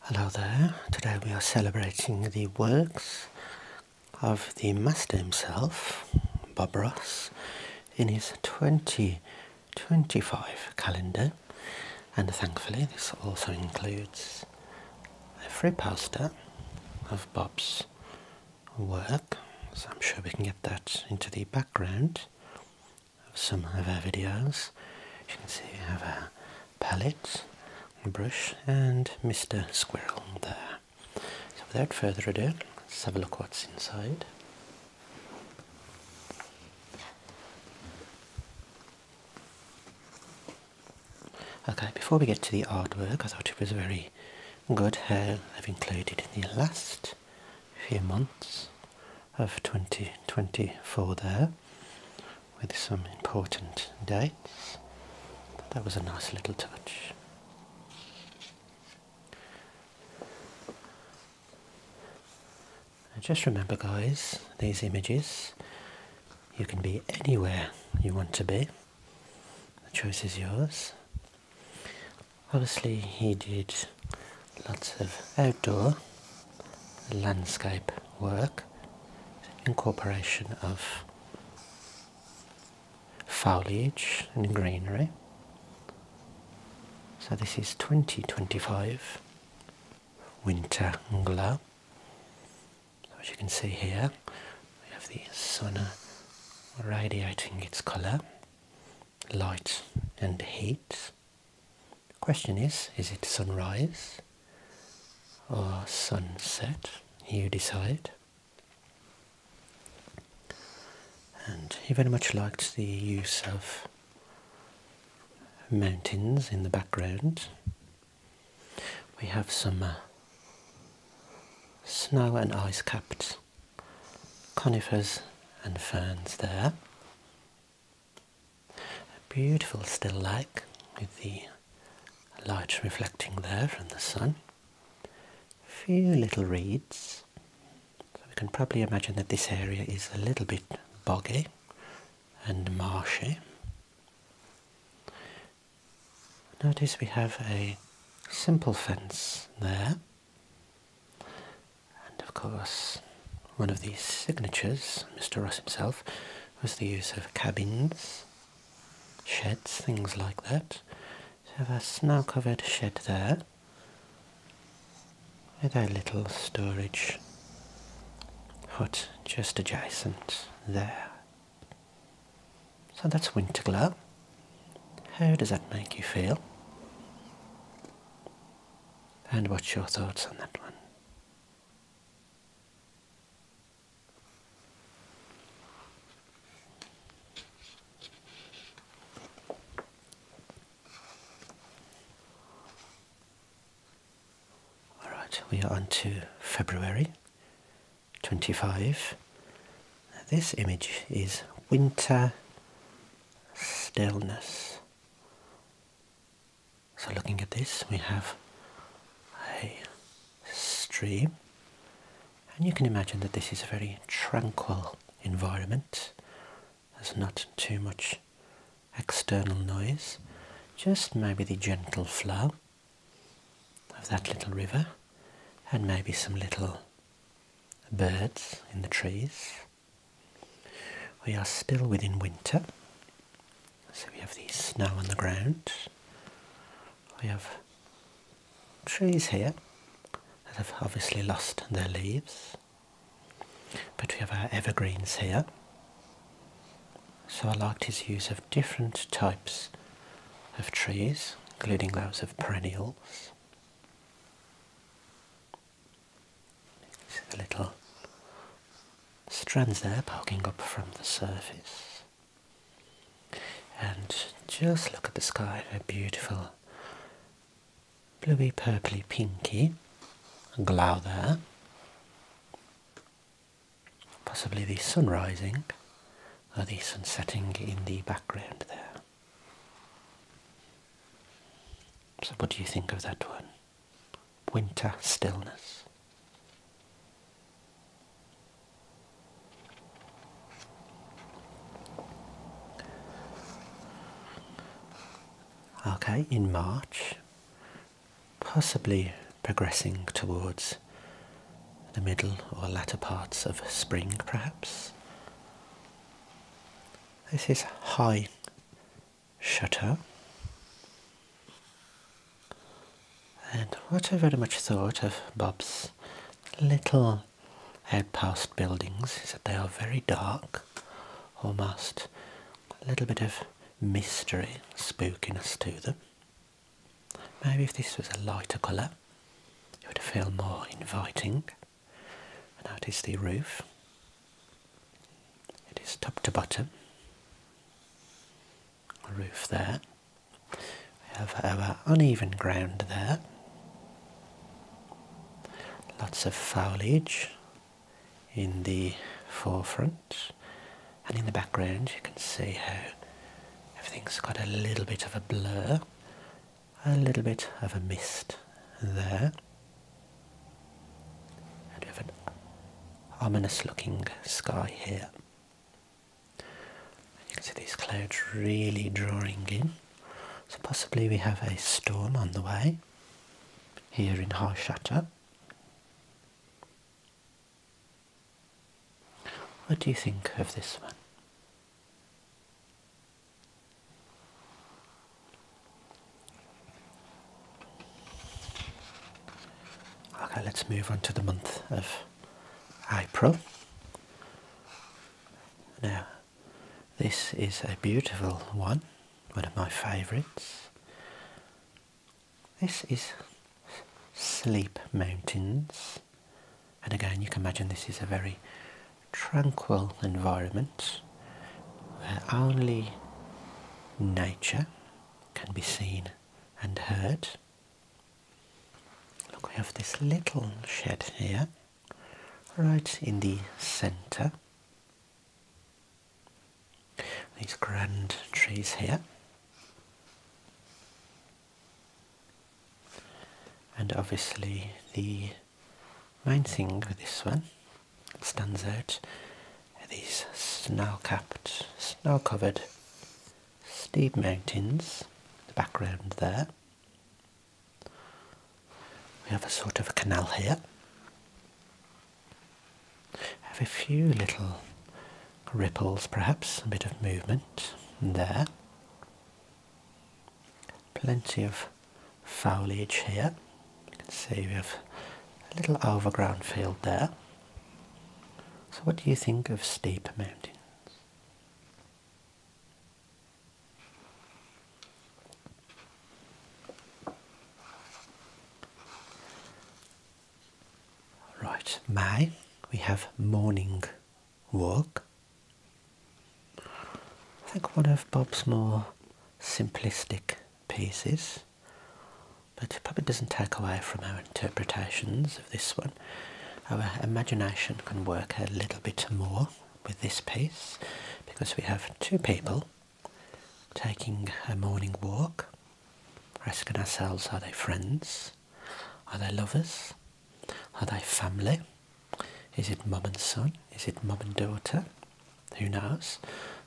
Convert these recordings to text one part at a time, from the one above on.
Hello there. Today we are celebrating the works of the master himself, Bob Ross, in his 2025 calendar. And thankfully, this also includes a free poster of Bob's work. So I'm sure we can get that into the background of some of our videos. you can see, we have our palette, brush, and Mr. Squirrel there. So, without further ado, let's have a look what's inside. Okay, before we get to the artwork, I thought it was very good how i have included in the last few months of 2024 there with some important dates. that was a nice little touch. just remember guys, these images, you can be anywhere you want to be. The choice is yours. Obviously he did lots of outdoor landscape work, incorporation of foliage and greenery. So this is 2025 Winter Glow. as you can see here, we have the sun radiating its colour, light and heat. The question is is it sunrise or sunset? You decide. And he very much liked the use of mountains in the background. We have some uh, snow and ice capped conifers and ferns there. A beautiful still lake with the light reflecting there from the sun. A few little reeds. we can probably imagine that this area is a little bit boggy and marshy. Notice we have a simple fence there and of course, one of these signatures, Mr. Ross himself, was the use of cabins, sheds, things like that. So have a snow covered shed there with a little storage hut just adjacent there. So that's Winterglow. How does that make you feel? And what's your thoughts on that one? All right, we are on to February 25. This image is winter stillness. So looking at this, we have a stream, and you can imagine that this is a very tranquil environment. There's not too much external noise, just maybe the gentle flow of that little river, and maybe some little birds in the trees. We are still within winter, so we have the snow on the ground. We have trees here that have obviously lost their leaves, but we have our evergreens here. So I liked his use of different types of trees, including those of perennials. See the little strands there poking up from the surface. And just look at the sky, a beautiful bluey, purply, pinky glow there. Possibly the sun rising or the sun setting in the background there. So what do you think of that one? winter stillness. Okay, in March, possibly progressing towards the middle or latter parts of spring perhaps. This is high shutter. And what I very much thought of Bob's little outpost buildings is that they are very dark, almost a little bit of mystery spookiness to them. Maybe if this was a lighter colour, it would feel more inviting. notice the roof it is top to bottom. A roof there. We have our uneven ground there. Lots of foliage in the forefront and in the background you can see how everything's got a little bit of a blur, a little bit of a mist there and we have an ominous looking sky here. you can see these clouds really drawing in. So possibly we have a storm on the way here in Harshata. What do you think of this one? Okay, let's move on to the month of April. Now, this is a beautiful one, one of my favourites. This is Sleep Mountains. And again, you can imagine this is a very tranquil environment where only nature can be seen and heard. Look, we have this little shed here, right in the centre. These grand trees here. And obviously the main thing with this one it stands out are these snow-capped, snow-covered steep mountains in the background there. We have a sort of a canal here. Have a few little ripples perhaps, a bit of movement there. Plenty of foliage here. You can see we have a little overground field there. So what do you think of steep mountains? Right, May, we have morning walk. I think one of Bob's more simplistic pieces, but it probably doesn't take away from our interpretations of this one. Our imagination can work a little bit more with this piece because we have two people taking a morning walk, asking ourselves are they friends? Are they lovers? Are they family? Is it mum and son? Is it mum and daughter? who knows?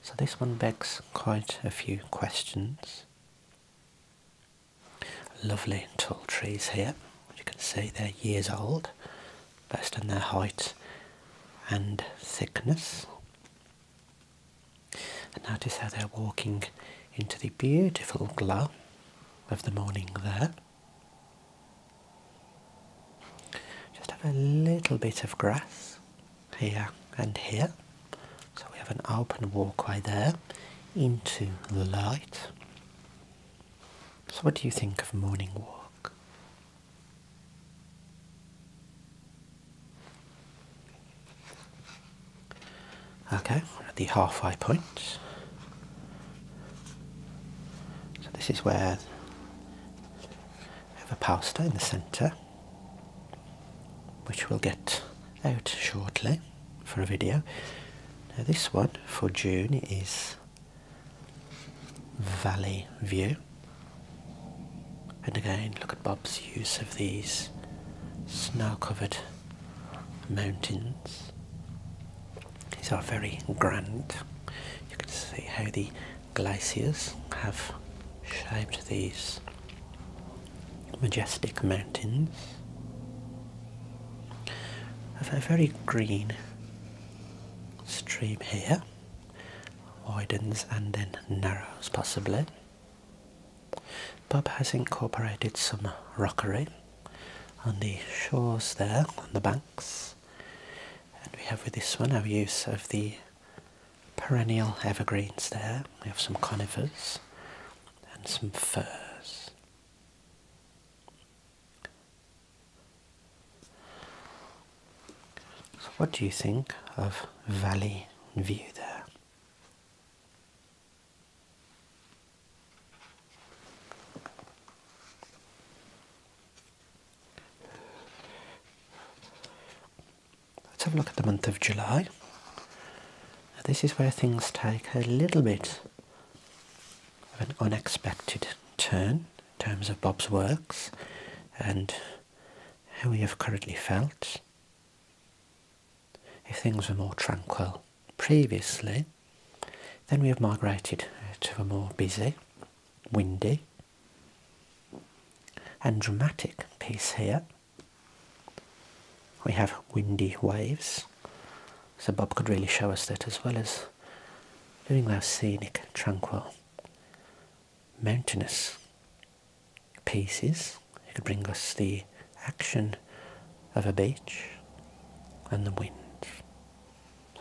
So this one begs quite a few questions. Lovely tall trees here, you can see they're years old, based on their height and thickness. And notice how they're walking into the beautiful glow of the morning there. Just have a little bit of grass here and here. So we have an open walkway there into the light. So what do you think of morning walk? Okay, we're at the halfway point. So this is where have a pasta in the centre which we'll get out shortly for a video. Now this one for June is Valley View and again look at Bob's use of these snow covered mountains. These are very grand. You can see how the glaciers have shaped these majestic mountains of a very green stream here widens and then narrows possibly bob has incorporated some rockery on the shores there on the banks and we have with this one our use of the perennial evergreens there. We have some conifers and some firs. So what do you think of Valley View there? Let's have a look at the month of July. this is where things take a little bit of an unexpected turn in terms of Bob's works and how we have currently felt. If things were more tranquil previously, then we have migrated to a more busy, windy, and dramatic piece here. We have windy waves, so Bob could really show us that as well as doing those scenic, tranquil, mountainous pieces. He could bring us the action of a beach and the wind.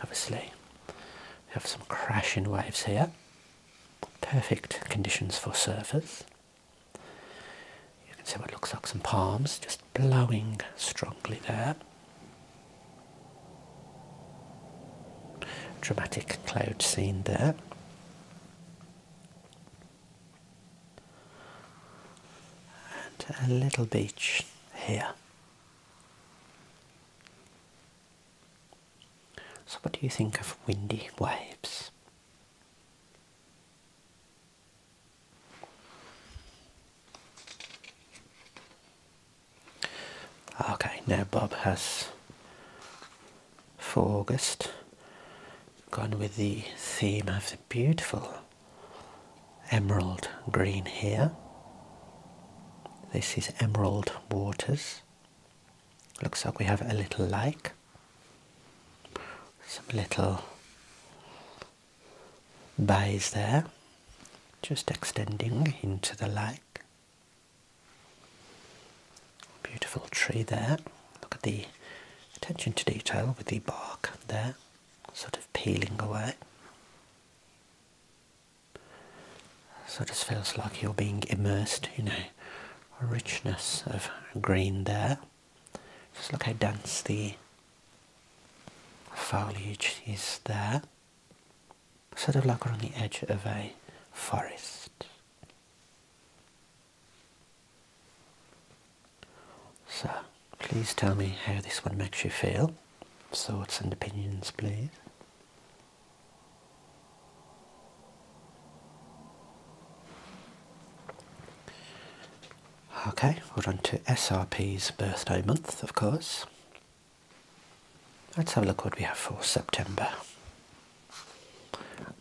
of a Obviously, we have some crashing waves here perfect conditions for surfers. You can see what looks like some palms just blowing strongly there. Dramatic cloud scene there. And a little beach here. So, what do you think of windy waves? Okay, now Bob has for August gone with the theme of the beautiful emerald green here. This is Emerald Waters Looks like we have a little lake, some little bays there, just extending into the lake. Beautiful tree there. Look at the attention to detail with the bark there, sort of peeling away. So it just feels like you're being immersed in a richness of green there. Just look how dense the foliage is there. Sort of like we're on the edge of a forest. So please tell me how this one makes you feel. Thoughts and opinions please. Okay, we're on to SRP's birthday month, of course. Let's have a look what we have for September.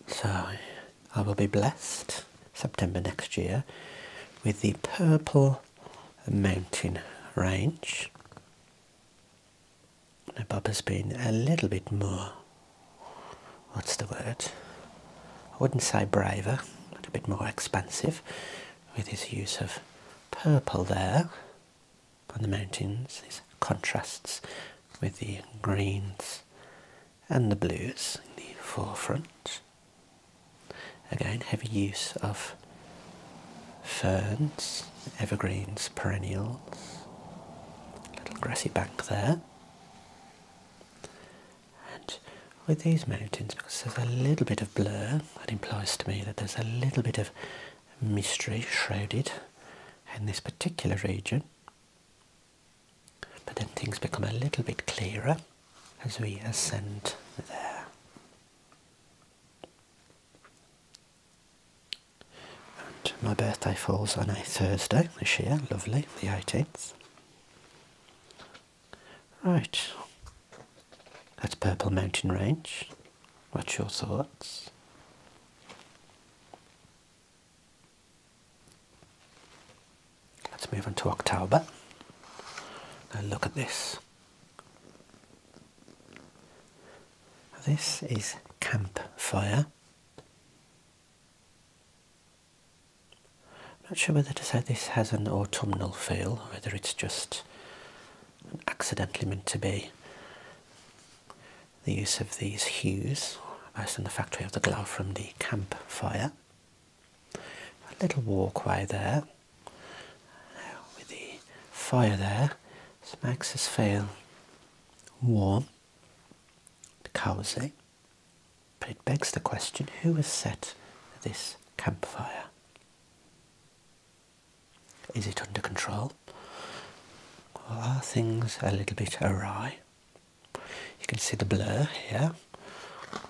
So, I will be blessed September next year with the Purple Mountain Range the bob has been a little bit more, what's the word, I wouldn't say braver, but a bit more expansive with his use of purple there on the mountains, these contrasts with the greens and the blues in the forefront. Again, heavy use of ferns, evergreens, perennials, little grassy bank there. And with these mountains, because there's a little bit of blur, that implies to me that there's a little bit of mystery shrouded in this particular region. But then things become a little bit clearer as we ascend there. And my birthday falls on a Thursday this year, lovely, the 18th. Right, that's Purple Mountain Range. What's your thoughts? Let's move on to October Now look at this. This is Campfire. I'm not sure whether to say this has an autumnal feel whether it's just accidentally meant to be. The use of these hues based on the fact we have the glow from the campfire. A little walkway there with the fire there Smacks us, fail. Warm. Cozy. But it begs the question, who has set this campfire? Is it under control? are things a little bit awry? You can see the blur here,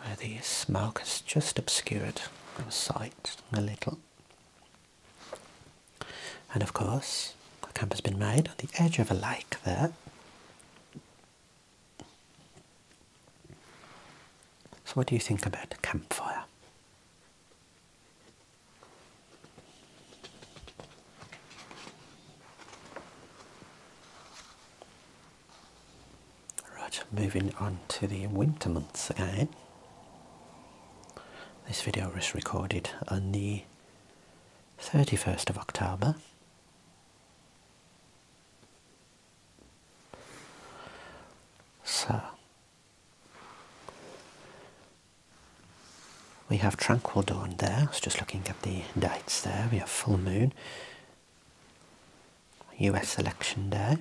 where the smoke has just obscured the sight a little. And of course, a camp has been made on the edge of a lake there. So, what do you think about a campfire? Right, moving on to the winter months again. This video was recorded on the 31st of October. So, we have Tranquil Dawn there, I just looking at the dates there, we have Full Moon, US Election Day,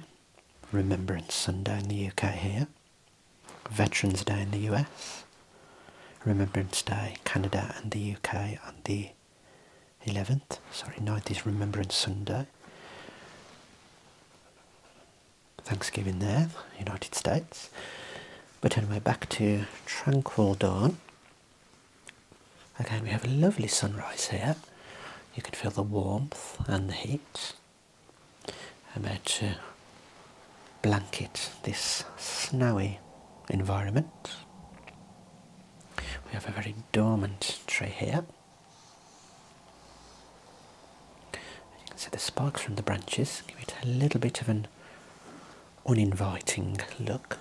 Remembrance Sunday in the UK here. Veterans Day in the US, Remembrance Day, Canada and the UK on the 11th, sorry, 9th is Remembrance Sunday. Thanksgiving there, United States. But anyway, back to Tranquil Dawn. Again, we have a lovely sunrise here. You can feel the warmth and the heat. I'm about to uh, blanket this snowy environment. We have a very dormant tree here. You can see the sparks from the branches give it a little bit of an uninviting look.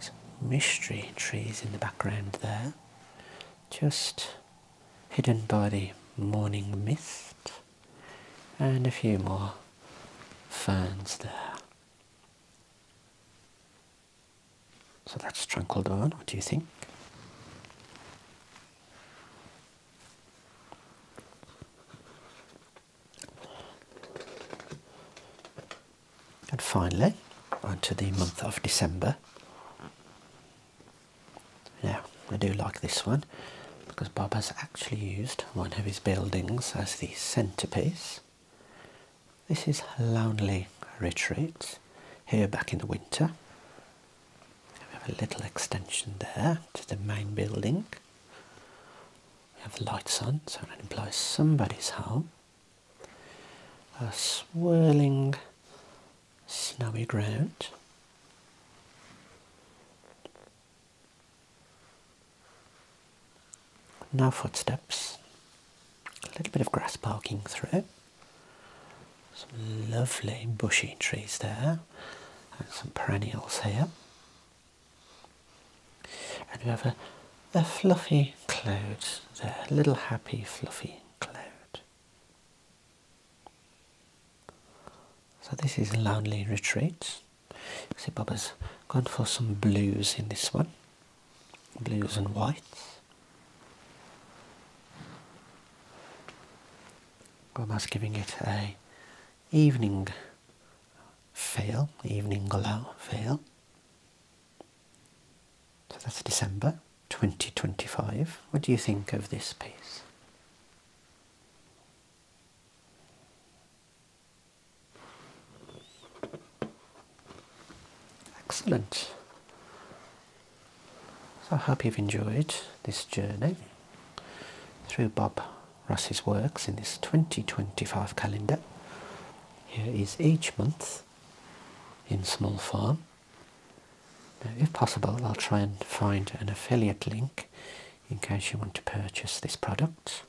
Some mystery trees in the background there, just hidden by the morning mist, and a few more ferns there. So that's trundle Tranquildon, what do you think? And finally, onto the month of December. Now, I do like this one because Bob has actually used one of his buildings as the centrepiece. This is Lonely Retreat, here back in the winter. We have a little extension there to the main building. We have the lights on, so that implies somebody's home. A swirling snowy ground. Now footsteps, a little bit of grass parking through, some lovely bushy trees there, and some perennials here. And we have a, a fluffy cloud a little happy fluffy cloud. So this is Lonely Retreats. See Bob has gone for some blues in this one. Blues and whites. Baba's giving it a evening feel, evening glow feel. So that's December. 2025. What do you think of this piece? Excellent. So I hope you've enjoyed this journey through Bob Ross's works in this 2025 calendar. Here is each month in small form if possible, I'll try and find an affiliate link in case you want to purchase this product.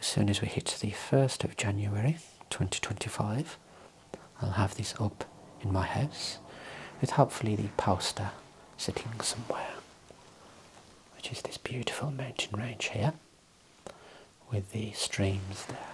As soon as we hit the 1st of January 2025, I'll have this up in my house with hopefully the poster sitting somewhere, which is this beautiful mountain range here with the streams there.